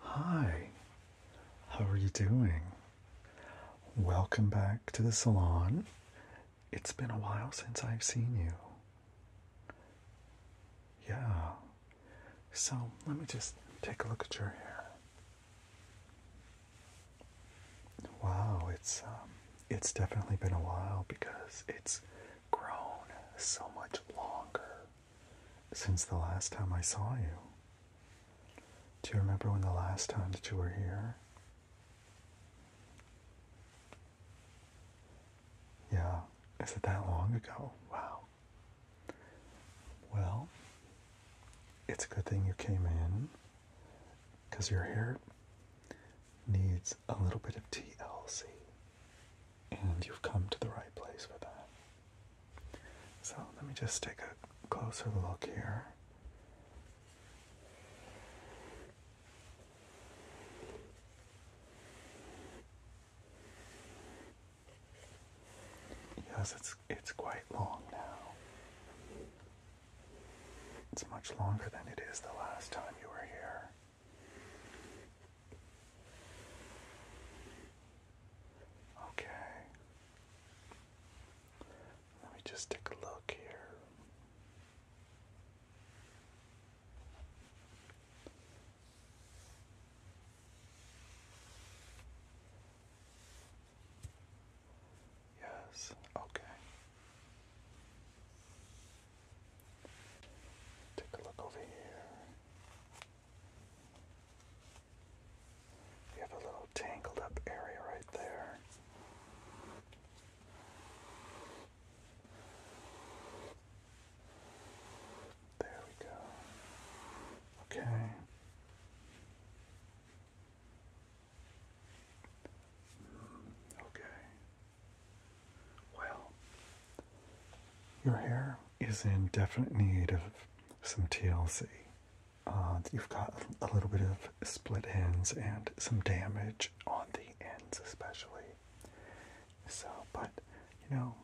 Hi, how are you doing? Welcome back to the salon. It's been a while since I've seen you. Yeah, so let me just take a look at your hair. Wow, it's um, it's definitely been a while because it's grown so much longer since the last time I saw you. Do you remember when the last time that you were here? Yeah, is it that long ago? Wow. Well, it's a good thing you came in because your hair needs a little bit of TLC and you've come to the right place for that. So let me just take a closer look here. Yes, it's it's quite long now. It's much longer than it is the last time you were here. Okay. Let me just take a look here. Yes, okay. Take a look over here. You have a little tangled up area right there. There we go. Okay. Okay. Well, your hair is in definite need of some TLC. Uh, you've got a little bit of split ends and some damage on the ends, especially. So, but you know,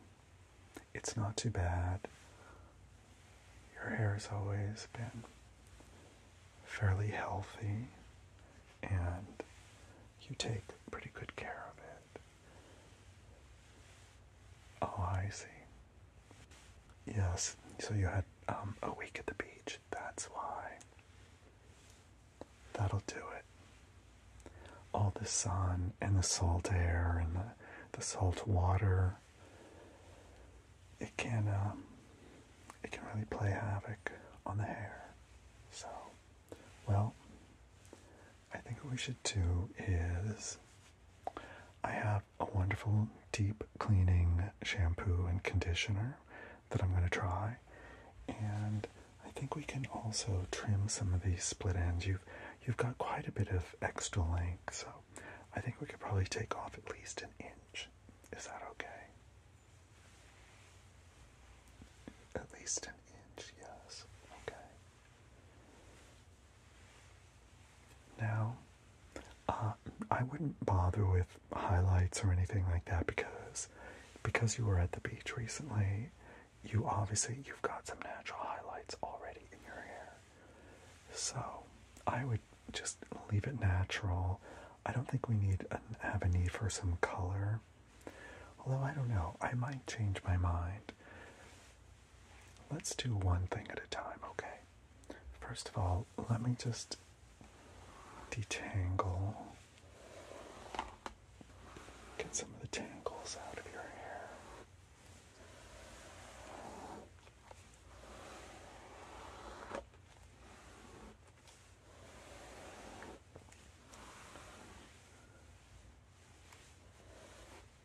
it's not too bad. Your hair has always been fairly healthy and you take pretty good care of it. Oh, I see. Yes, so you had um, a week at the beach. That's why. That'll do it. All the sun and the salt air and the, the salt water. It can um, it can really play havoc on the hair. So, well, I think what we should do is I have a wonderful deep cleaning shampoo and conditioner that I'm going to try. And I think we can also trim some of these split ends. You've you've got quite a bit of extra length, so I think we could probably take off at least an inch. Is that okay? At least an inch, yes. Okay. Now, uh, I wouldn't bother with highlights or anything like that because because you were at the beach recently, you obviously you've got some natural highlights already in your hair. So I would just leave it natural. I don't think we need an, have a need for some color. Although I don't know, I might change my mind. Let's do one thing at a time, okay? First of all, let me just detangle, get some of the tangles out of your hair.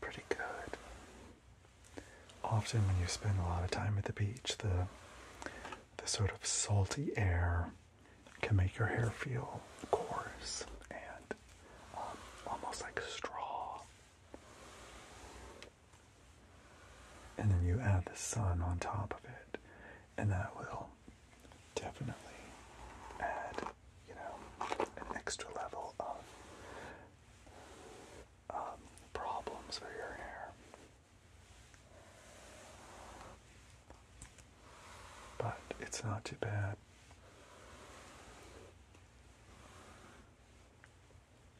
pretty good. Often, when you spend a lot of time at the beach, the the sort of salty air can make your hair feel coarse and um, almost like straw. And then you add the sun on top of it, and that will definitely add you know, an extra level of um, problems for your hair. But it's not too bad.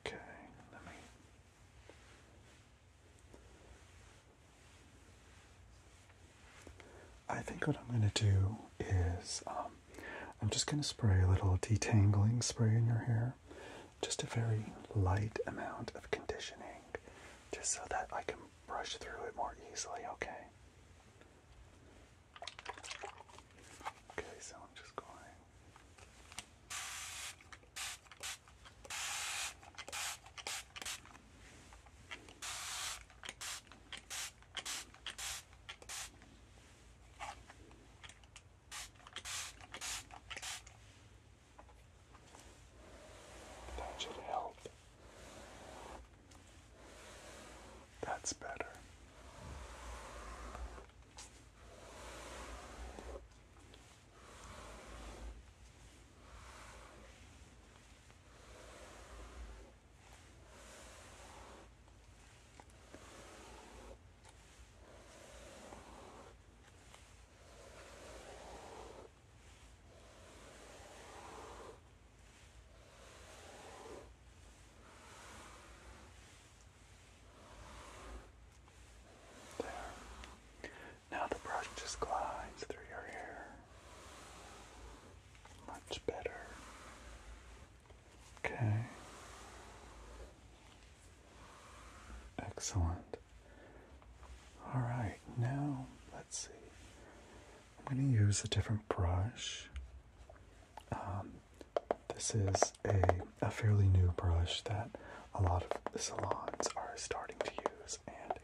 Okay, let me. I think what I'm going to do is um, I'm just going to spray a little detangling spray in your hair. Just a very light amount of conditioning, just so that I can brush through it more easily, okay? Okay, so I'm just going. That should help. That's better. There. Now the brush just glides through your hair. Much better. Okay. Excellent. All right, now let's see. I'm going to use a different brush. Um, this is a, a fairly new brush that a lot of salons are starting to use, and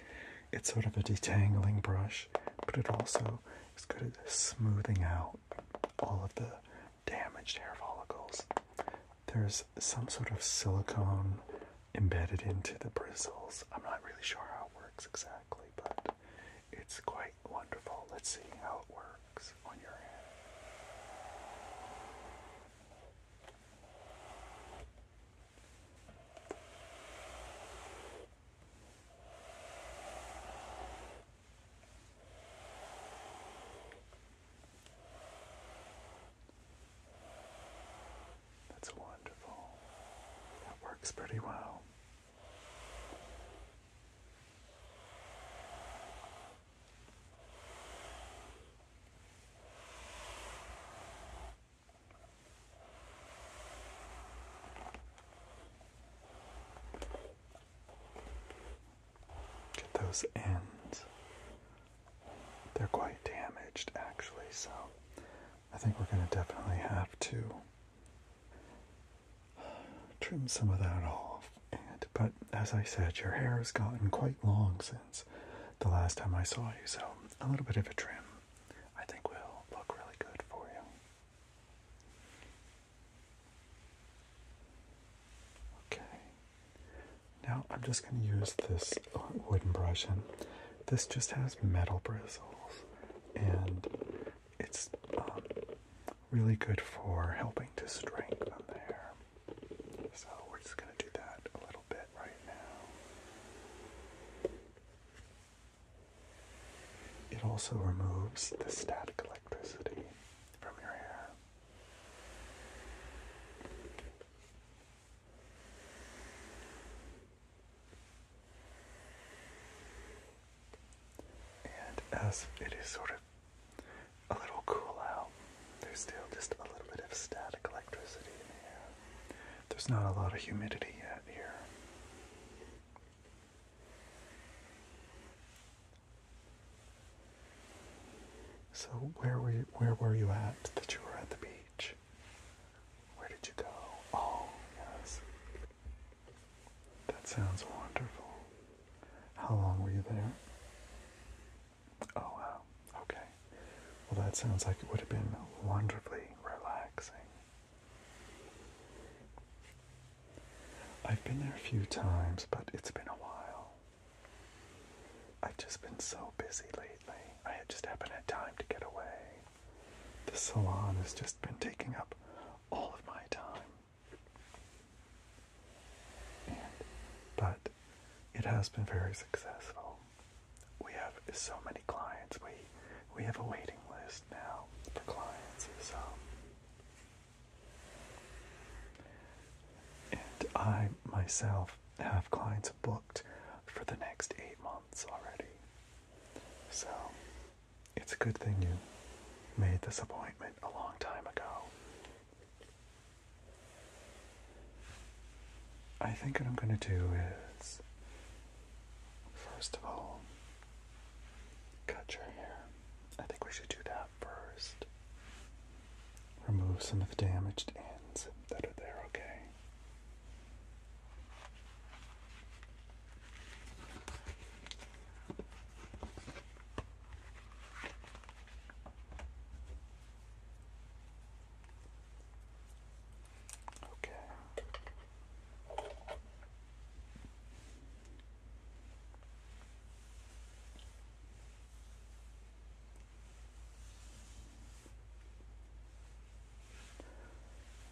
it's sort of a detangling brush, but it also is good at smoothing out all of the damaged hair follicles. There's some sort of silicone embedded into the bristles. I'm not really sure how it works exactly, but it's quite wonderful. Let's see how it works on your hand. That's wonderful. That works pretty well. Get those ends. They're quite damaged actually, so I think we're going to definitely have to trim some of that off. but as I said, your hair has gotten quite long since the last time I saw you, so a little bit of a trim I think will look really good for you. Okay. Now I'm just going to use this wooden brush, and this just has metal bristles, and it's um, really good for helping to strengthen the hair. So we're just going to do that a little bit right now. It also removes the static electricity from your hair. And as it is sort of a little cool out, there's still just a little bit of static electricity in the air. There's not a lot of humidity yet here. So where were you, where were you at that you were at the beach? Where did you go? Oh yes, that sounds wonderful. How long were you there? Oh wow, okay. Well, that sounds like it would have been wonderfully relaxing. I've been there a few times, but it's been a while. I've just been so busy lately. I just haven't had time to get away. The salon has just been taking up all of my time. but it has been very successful. We have so many clients. We we have a waiting list now for clients. So and I myself have clients booked for the next eight months already. So it's a good thing you made this appointment a long time ago. I think what I'm going to do is, first of all, Cut your hair. I think we should do that first. Remove some of the damaged ends that are there, okay? Okay.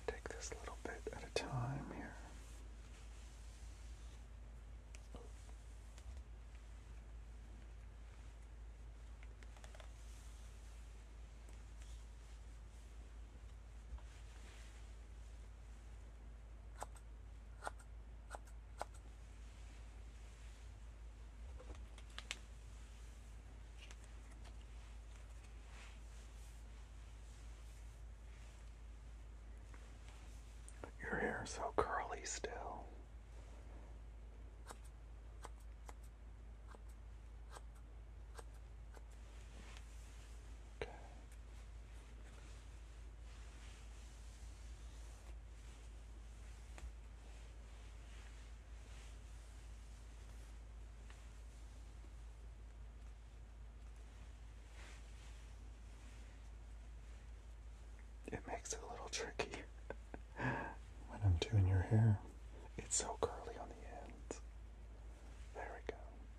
Take this little bit at a time here. Your hair is so curly still. Okay. It makes it a little tricky when I'm doing your hair. It's so curly on the ends. There we go.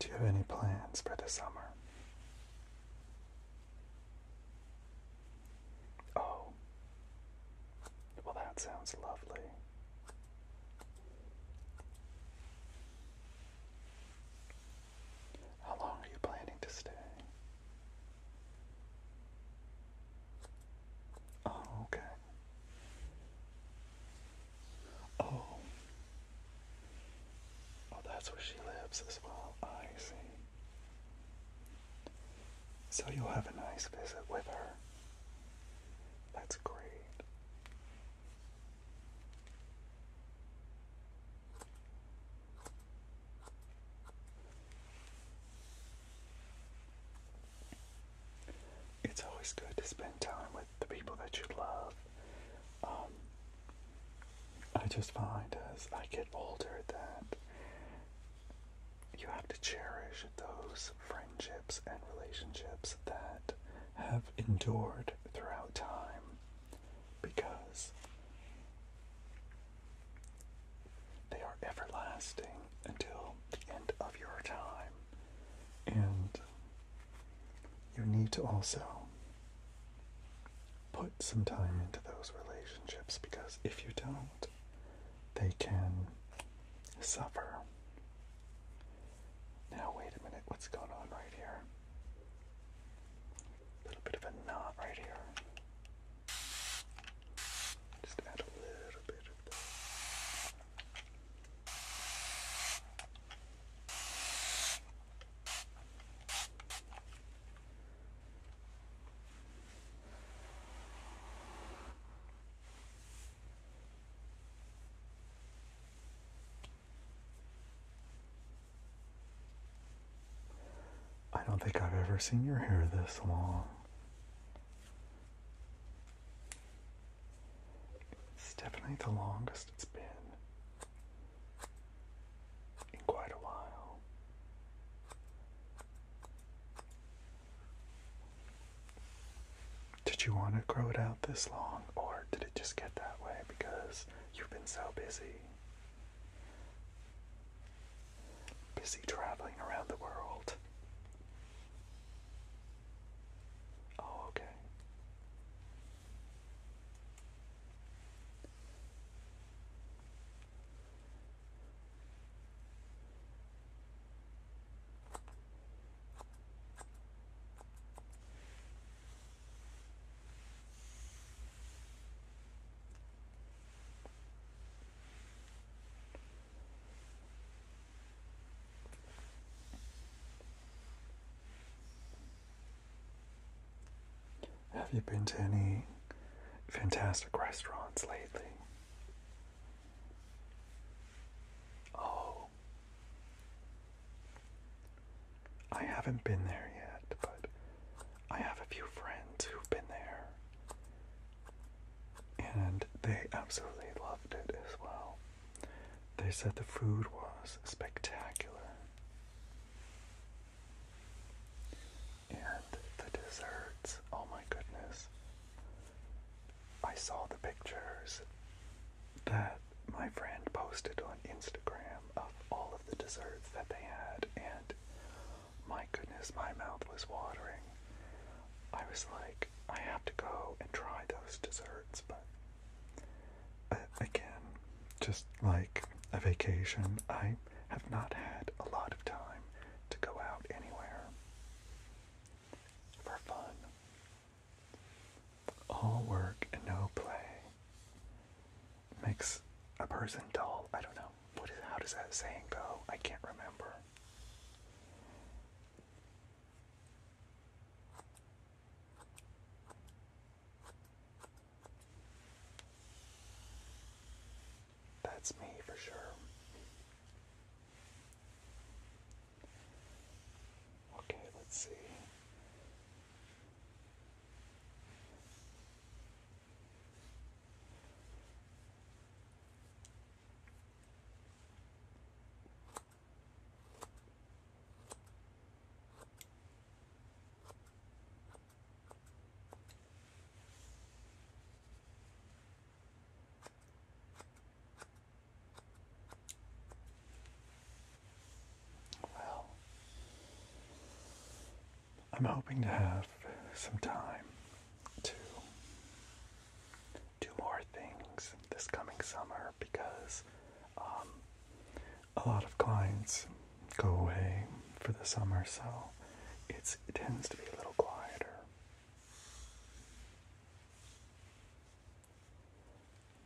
Do you have any plans for the summer? Oh. Well, that sounds lovely. How long are you planning to stay? Oh, okay. Oh. Oh, that's where she lives as well. I see. So you'll have a nice visit with her. That's great. It's always good to spend time with the people that you love. Um, I just find as I get older that you have to cherish those friendships and relationships that have endured throughout time because they are everlasting until the end of your time. And you need to also put some time into those relationships because if you don't, they can suffer. Now, wait a minute, what's going on right here? A little bit of a knot right here. Just add a little bit I don't think I've ever seen your hair this long. It's definitely the longest it's been in quite a while. Did you want to grow it out this long, or did it just get that way because you've been so busy? Busy traveling around the world. Oh, okay. Have you been to any fantastic restaurants lately? Oh. I haven't been there yet, but I have a few friends who've been there. And they absolutely loved it as well. They said the food was spectacular. And the desserts, oh my goodness. I saw the pictures that my friend posted on Instagram of all of the desserts that they had, and my goodness, my mouth was watering. I was like, I have to go and try those desserts, but uh, again, just like a vacation, I have not had a lot of time to go out anywhere for fun. All work and no play makes a person dull. I don't know. What is, how does that saying go? I can't remember. That's me for sure. Okay, let's see. Well, I'm hoping to have some time to do more things this coming summer because um, a lot of clients go away for the summer, so it tends to be a little quieter.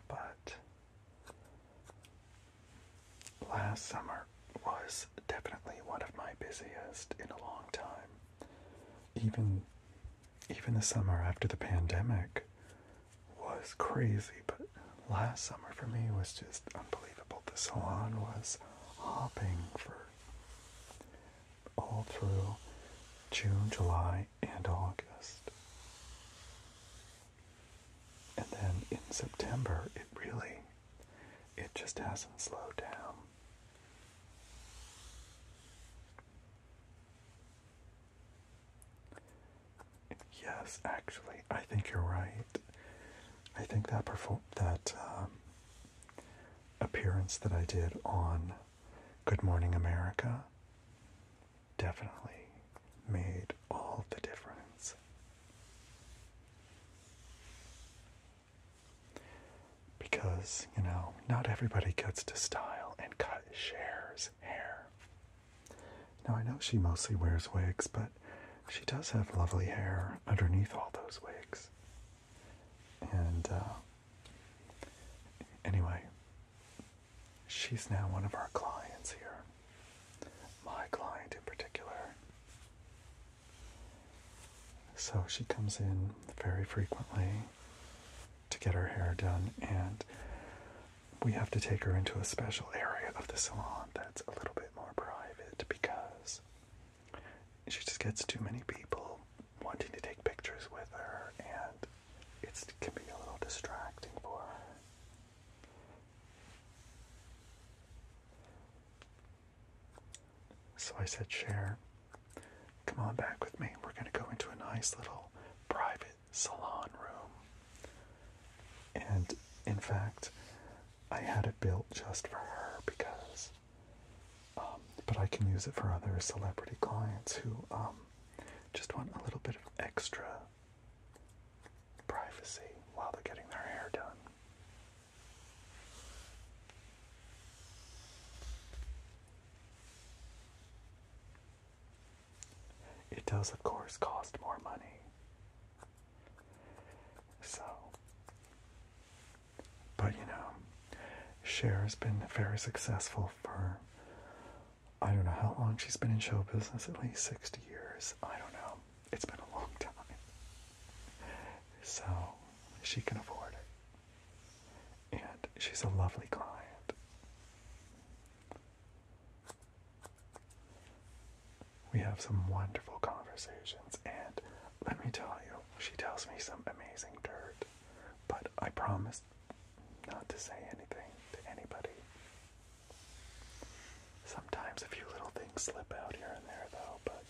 But last summer was definitely one of my busiest in a long time. Even even the summer after the pandemic was crazy, but last summer for me was just unbelievable. The salon was hopping for all through June, July, and August. And then in September, it really, it just hasn't slowed down. Yes, actually, I think you're right. I think that perform that um, appearance that I did on Good Morning America definitely made all the difference. Because, you know, not everybody cuts to style and cut shares hair. Now, I know she mostly wears wigs, but she does have lovely hair underneath all those wigs. And uh, anyway, she's now one of our clients here. My client in particular. So she comes in very frequently to get her hair done, and we have to take her into a special area of the salon that's a little bit more private because she just gets too many people wanting to take pictures with her, and it can be a little distracting for her. So I said, "Share, come on back with me. We're going to go into a nice little private salon room. And in fact, I had it built just for her because um, but I can use it for other celebrity clients who um, just want a little bit of extra privacy while they're getting their hair done. It does, of course, cost more money. So, but you know, Cher has been very successful for I don't know how long she's been in show business, at least 60 years. I don't know. It's been a long time. So she can afford it. And she's a lovely client. We have some wonderful conversations, and let me tell you, she tells me some amazing dirt. But I promise not to say anything to anybody. Sometimes a few little things slip out here and there, though, but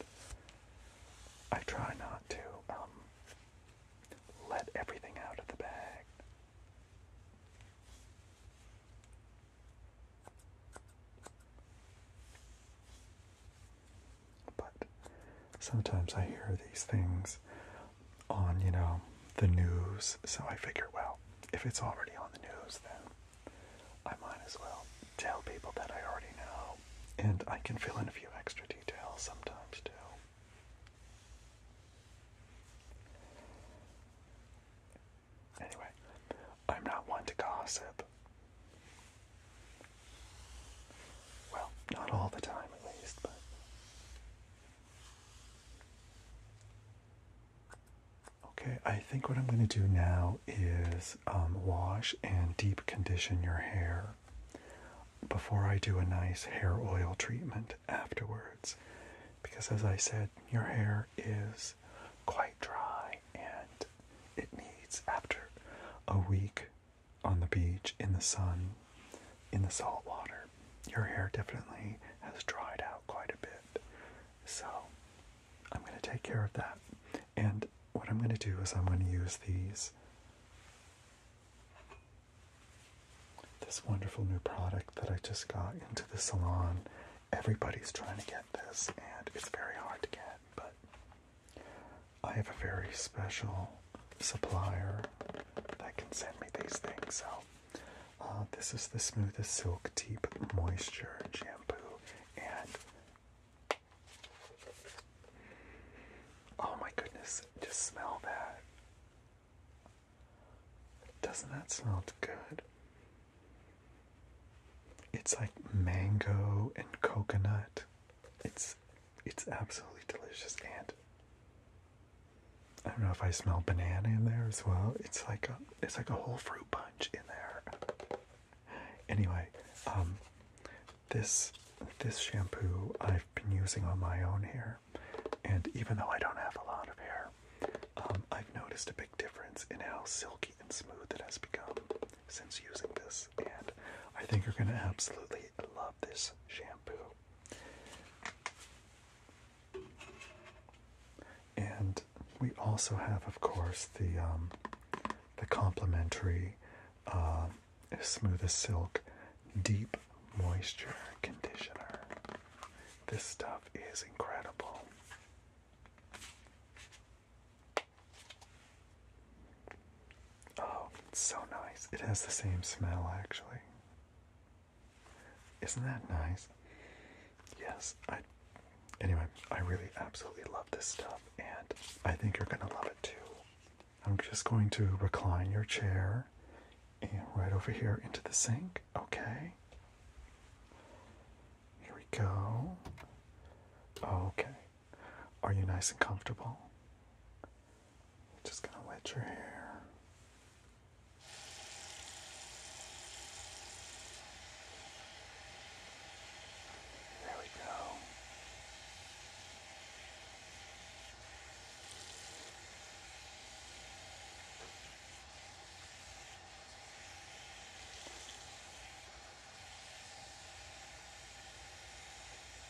I try not to um, let everything out of the bag. But sometimes I hear these things on, you know, the news, so I figure, well, if it's already on the news, then I might as well tell people that I already know, and I can fill in a few extra details sometimes too. Anyway, I'm not one to gossip, well, not all the time at least, but. Okay, I think what I'm going to do now is um, wash and deep condition your hair before I do a nice hair oil treatment afterwards. Because as I said, your hair is quite dry and it needs after a week on the beach, in the sun, in the salt water. Your hair definitely has dried out quite a bit. So I'm going to take care of that. And what I'm going to do is I'm going to use these. This wonderful new product that I just got into the salon. Everybody's trying to get this, and it's very hard to get, but I have a very special supplier that can send me these things. So, uh, this is the Smoothest Silk Deep Moisture Shampoo. And oh my goodness, just smell that. Doesn't that smell good? It's like mango and coconut. It's it's absolutely delicious and I don't know if I smell banana in there as well. It's like a it's like a whole fruit punch in there. Anyway, um this this shampoo I've been using on my own hair and even though I don't have a lot of hair, um, I've noticed a big difference in how silky and smooth it has become since using this. I think you're going to absolutely love this shampoo. And we also have, of course, the um, the complimentary uh, Smooth as Silk Deep Moisture Conditioner. This stuff is incredible. Oh, it's so nice. It has the same smell, actually. Isn't that nice? Yes, I. Anyway, I really absolutely love this stuff, and I think you're gonna love it too. I'm just going to recline your chair and right over here into the sink, okay? Here we go. Okay. Are you nice and comfortable? Just gonna wet your hair. There we go.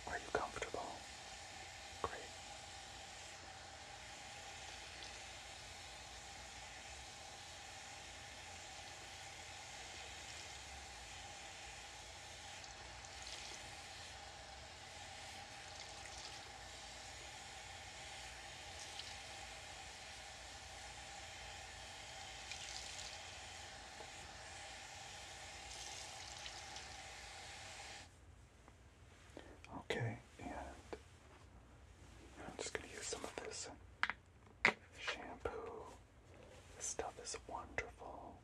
Are you comfortable? Great. Okay, and I'm just going to use some of this shampoo. This stuff is wonderful.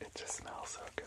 It just smells so good.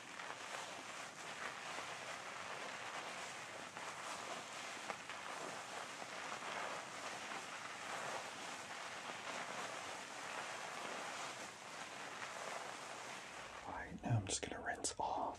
Alright, now I'm just going to rinse off.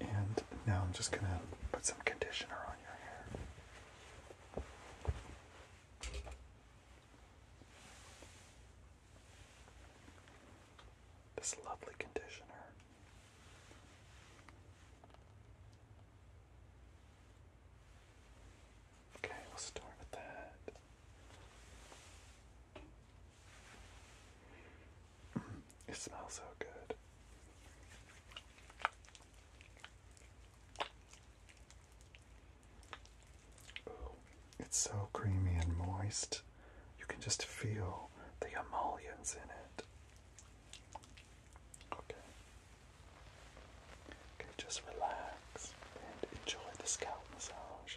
And now I'm just going to put some conditioner on your hair. This lovely conditioner. Okay, we'll start with that. It smells so good. it's so creamy and moist. You can just feel the emollients in it. Okay. Okay, just relax and enjoy the scalp massage.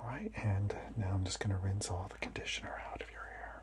Alright, and now I'm just going to rinse all the conditioner out of your hair.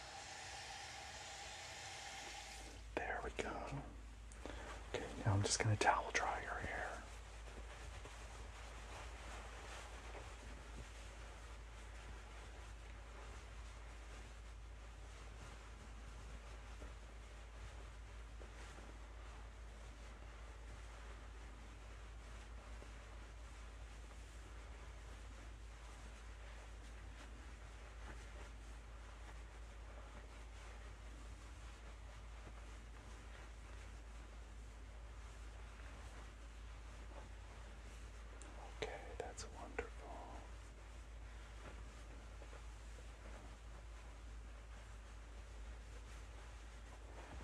There we go. Okay, now I'm just going to towel dry your hair. Okay, that's wonderful.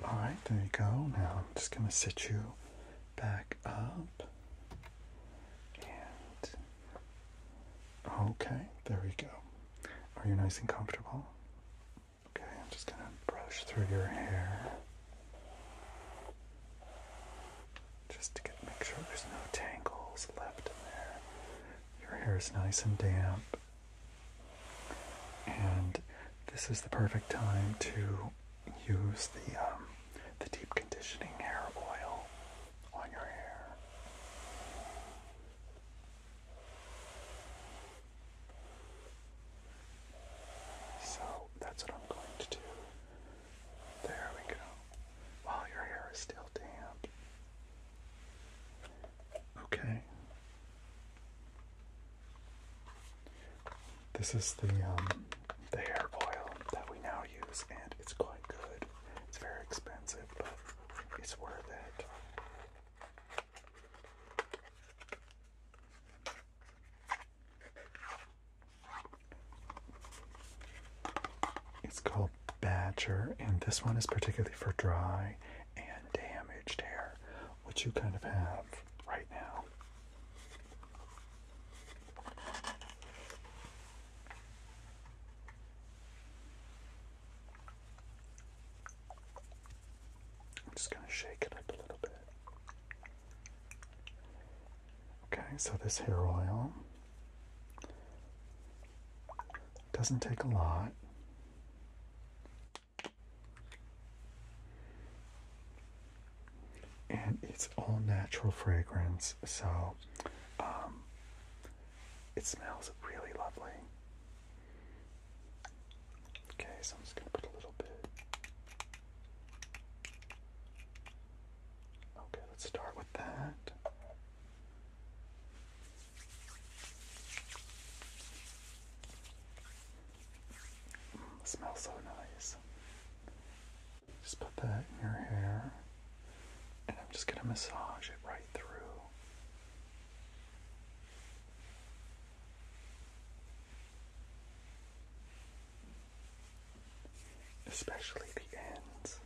All right, there you go. Now I'm just going to sit you back up. And okay, there we go. Are you nice and comfortable? Okay, I'm just gonna brush through your hair. Just to get make sure there's no tangles left in there. Your hair is nice and damp. And this is the perfect time to use the um, the deep conditioning hair oil on your hair. So that's what I'm going to do. There we go. While your hair is still damp. Okay. This is the um, the hair oil that we now use, and it's quite good. It's very expensive, but it's worth it. It's called Badger, and this one is particularly for dry and damaged hair, which you kind of have right now. I'm just going to shake it up a little bit. Okay, so this hair oil doesn't take a lot and it's all natural fragrance, so um, it smells really lovely. Okay, so I'm just going to put a little bit. Okay, let's start with that. Mm, smells so nice. Just put that in your hair, and I'm just going to massage it right through. Especially the ends.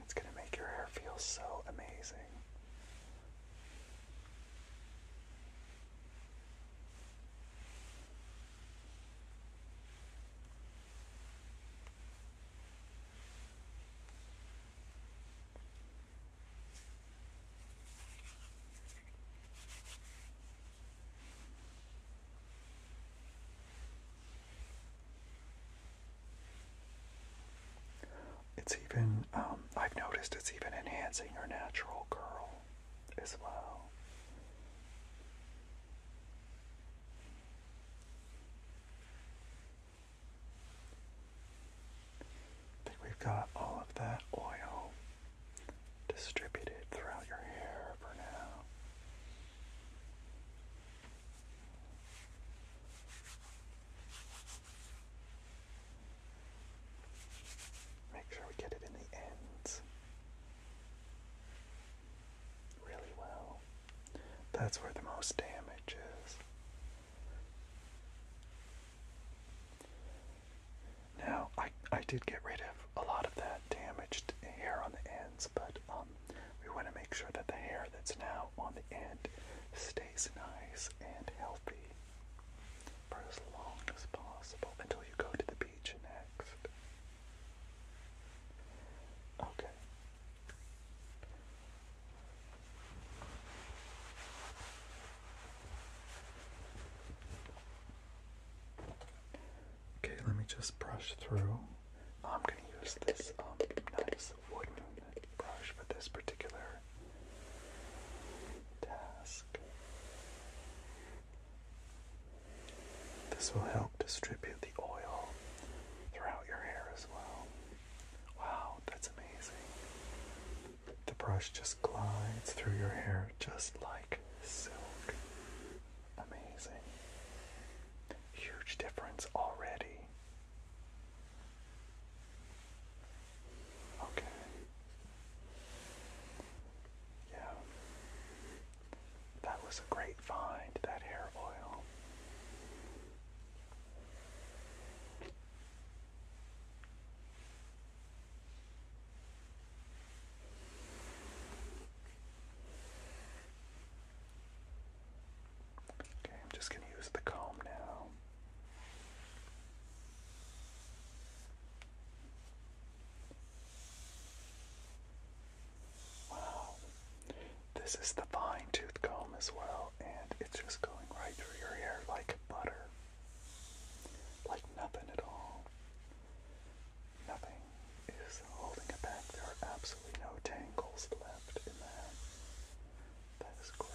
It's going to make your hair feel so amazing. It's even, um, I've noticed it's even enhancing your natural curl as well. I think we've got all of that oil distributed throughout your hair for now. Make sure we get it in the ends really well. That's where the most damage is. Now, I, I did get rid of a lot of that damaged hair on the ends, but um, we want to make sure that the hair that's now on the end stays nice and healthy for as long as possible until you go to the beach next. Okay. Okay, let me just brush through. I'm going to use this um, nice wooden brush for this particular task. This will help distribute the oil throughout your hair as well. Wow, that's amazing. The brush just glides through your hair just like silk. Amazing. Huge difference already. Okay. Yeah. That was a great find, that hair oil. Okay, I'm just going to use the comb now. Wow. This is the fine tooth comb as well, and it's just going right through your hair like butter. Like nothing at all. Nothing is holding it back. There are absolutely no tangles left in that. That is great.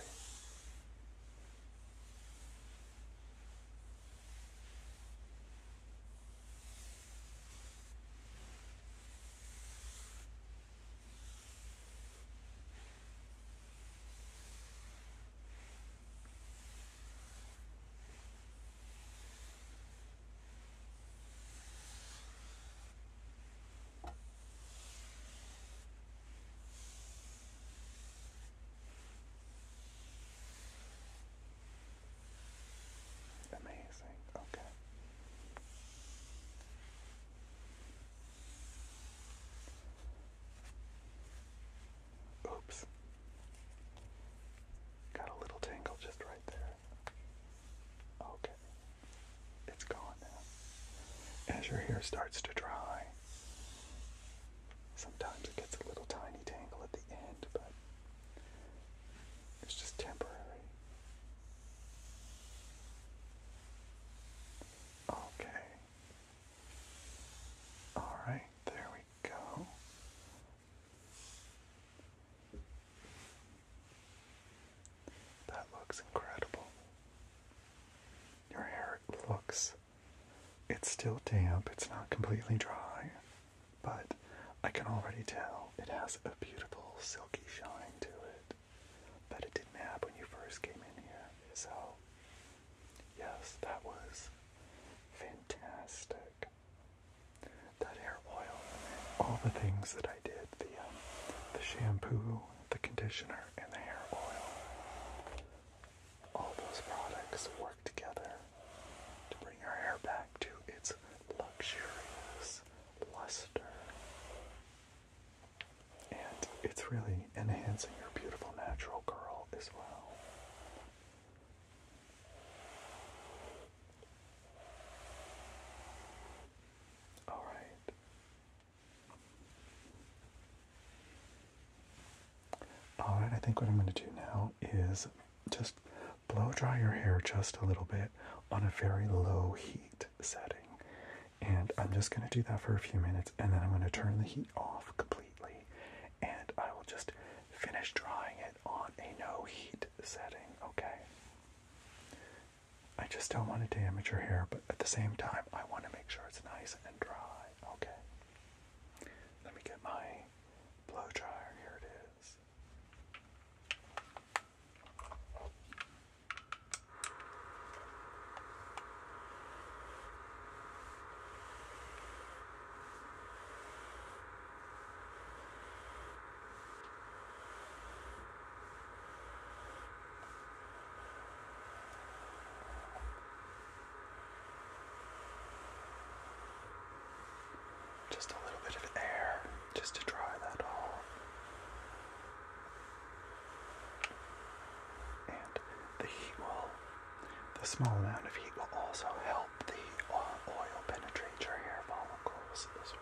Amazing. Okay. Oops. Got a little tangle just right there. Okay. It's gone now. As your hair starts to dry, sometimes it gets a little tiny tangle at the end, but it's just temporary. Okay. Alright, there go. That looks incredible. Your hair looks. It's still damp, it's not completely dry, but I can already tell it has a beautiful silky shine to it that it didn't have when you first came in here. So Yes, that was fantastic. That hair oil, all the things that I did, the um, the shampoo, the conditioner, and the hair oil, all those products work together to bring your hair back to its luxurious luster. And it's really enhancing your beautiful natural curl as well. All right. All right, I think what I'm going to do now is just blow dry your hair just a little bit on a very low heat setting. And I'm just going to do that for a few minutes and then I'm going to turn the heat off completely and I will just finish drying it on a no heat setting, okay? I just don't want to damage your hair, but at the same time, I want to make sure it's nice and dry, okay? Let me get my blow dryer, here it is. Just a little bit of air just to dry that all. And the heat will the small amount of heat will also help the uh, oil penetrate your hair follicles as well.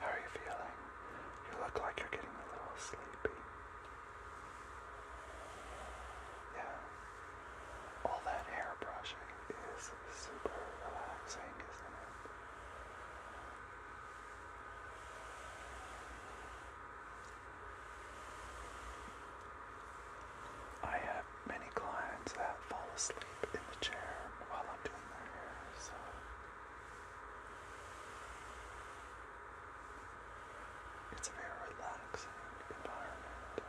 How are you feeling? You look like you're getting a little sleepy. Yeah all that hair brushing is super relaxing, isn't it? I have many clients that fall asleep in the chair while I'm doing their hair, so. It's a very relaxing environment.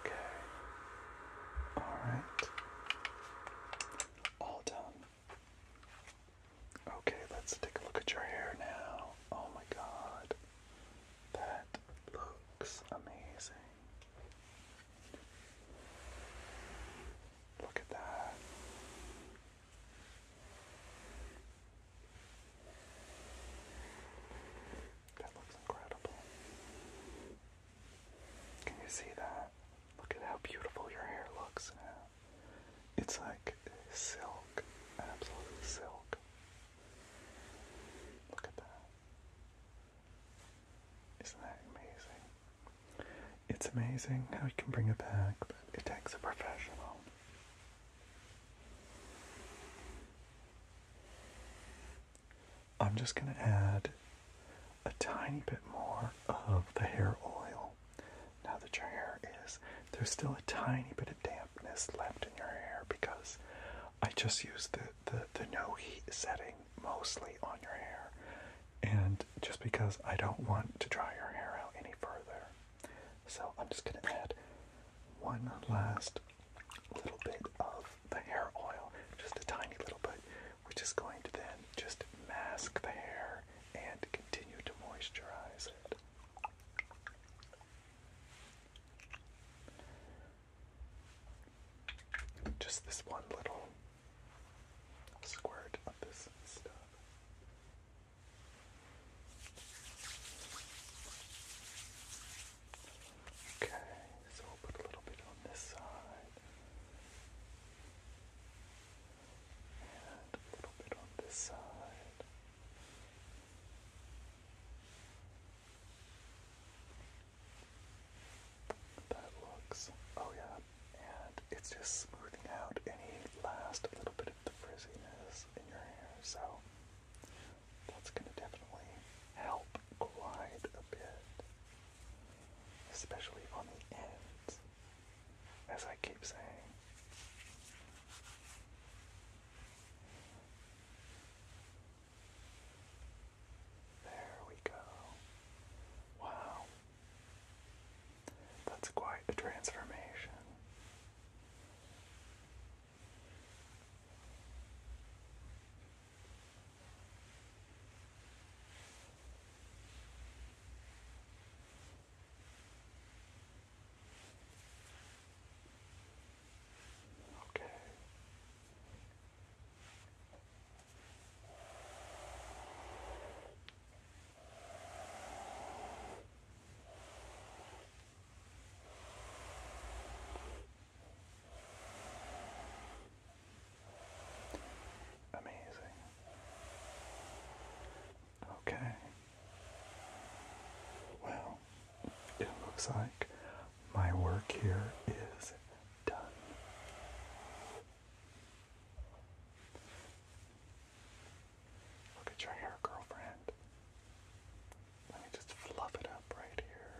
Okay. All right. All done. Okay, let's take a look at your hair now. Oh my god. That looks amazing. Look at that. That looks incredible. Can you see that? Look at how beautiful your hair looks It's like silk, absolute silk. Look at that. Isn't that amazing? It's amazing how you can bring it back, but it takes a professional. I'm just going to add a tiny bit more of the hair oil. Now that your hair is, there's still a tiny bit of dampness left in your hair because I just used the, the, the no heat setting mostly on your hair. And just because I don't want to dry your hair out any further, so I'm just going to add one last little bit of the hair oil, just a tiny little bit, which is going to then just mask the hair and continue to moisturize it. Just this one little squirt of this stuff. Okay, so we'll put a little bit on this side. And a little bit on this side. That looks. Oh, yeah, and it's just smoothing out any last little bit of the frizziness in your hair. So that's going to definitely help glide a bit, especially on the ends, as I keep saying. There we go. Wow, that's quite a transformation. Okay. Amazing. Okay. Well, it looks like my work here is done. Look at your hair, girlfriend. Let me just fluff it up right here.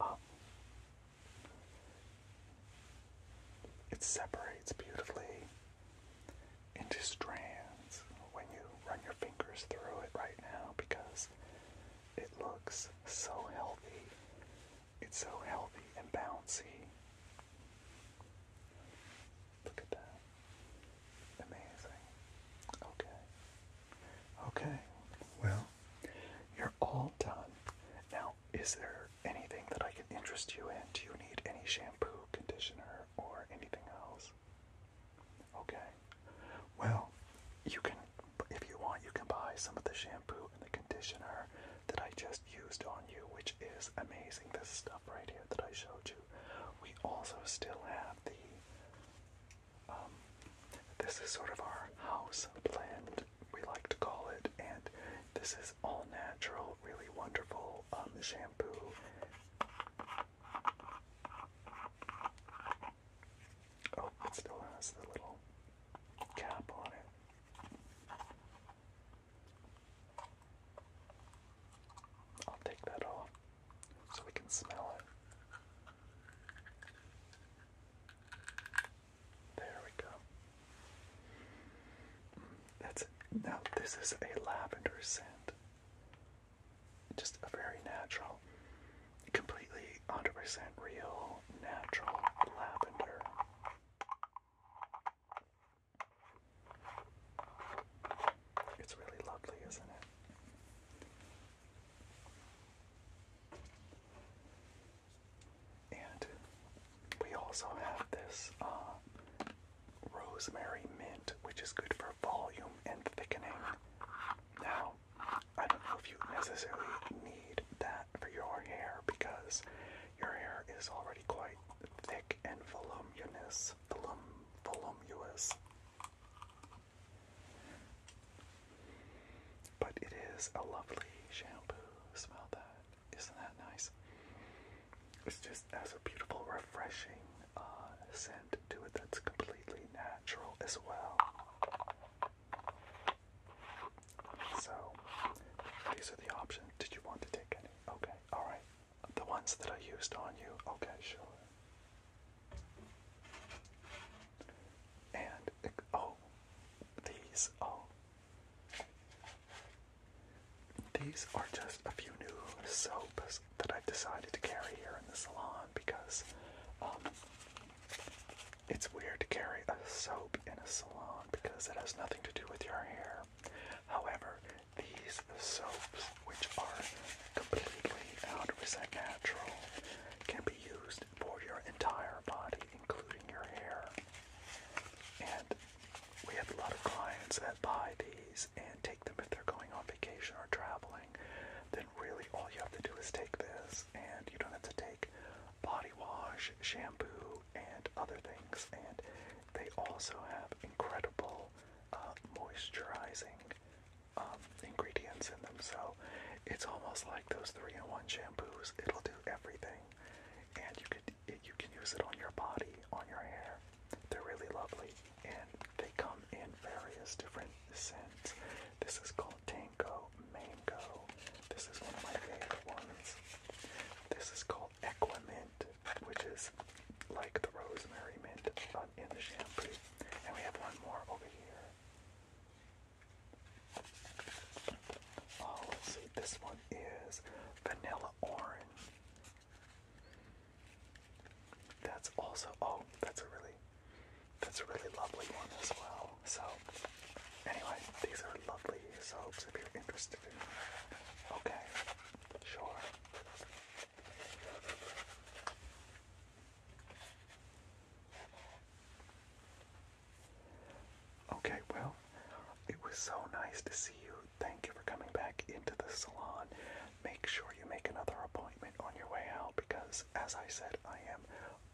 Up. Um, it separates beautifully into strands when you run your fingers through it right now because it looks so healthy it's so healthy and bouncy. Look at that. Amazing. Okay. Okay. Well, you're all done. Now, is there anything that I can interest you in? Do you need any shampoo, conditioner, or anything else? Okay. Well, you can if you want, you can buy some of the shampoo and the conditioner that I just used on you, which is amazing. This stuff right here that I showed you. We also still have the, um, this is sort of our house blend, we like to call it, and this is all natural, really wonderful um, shampoo. Oh, it still has the little cap on it. I'll take that off so we can smell it. There we go. That's it. Now, this is a lavender scent. Just a very natural, completely 100% real, natural lavender. It's really lovely, isn't it? And we also have this uh, rosemary mint, which is good for volume and thickening. Now, I don't know if you necessarily need that for your hair because your hair is already quite thick and voluminous. Volum, voluminous. But it is a lovely shampoo. Smell that. Isn't that nice? It's just has a beautiful, refreshing uh, scent to it that's completely natural as well. So these are the options. Did you want to take any? Okay, alright. The ones that I used on you? Okay, sure. And, oh, these, oh. These are just a few new soaps that I've decided to carry here in the salon because um, it's weird to carry a soap in a salon because it has nothing to do with your hair. However, these soaps, which are completely 100% natural, can be used for your entire body, including your hair. And we have a lot of clients that buy these and take them if they're going on vacation or traveling. Then, really, all you have to do is take this, and you don't have to take body wash, shampoo, and other things. And they also have incredible uh, moisturizing um, ingredients in them. So it's almost like those three-in-one shampoos. It'll do everything, and you could you can use it on your body, on your hair. They're really lovely, and they come in various different scents. This is called Tang mango, mango. This is one of my favorite ones. This is called Equamint, which is like the rosemary mint but in the shampoo. And we have one more over here. Oh, see. This one is vanilla orange. That's also oh, that's a really that's a really lovely one as well. So, anyway, these are lovely soaps if you're interested Okay, sure. Okay, well, it was so nice to see you. Thank you for coming back into the salon. Make sure you make another appointment on your way out because, as I said, I am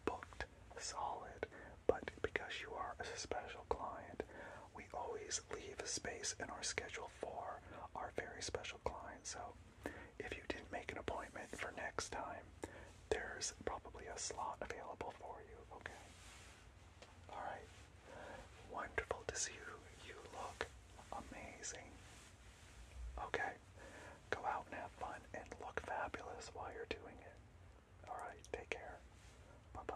booked solid, but because you are a special client, we always leave a space in our schedule for our very special client. So if you didn't make an appointment for next time, there's probably a slot available for you, okay? Alright. Wonderful to see you. You look amazing. Okay. Go out and have fun and look fabulous while you're doing it. Alright, take care. Bye bye.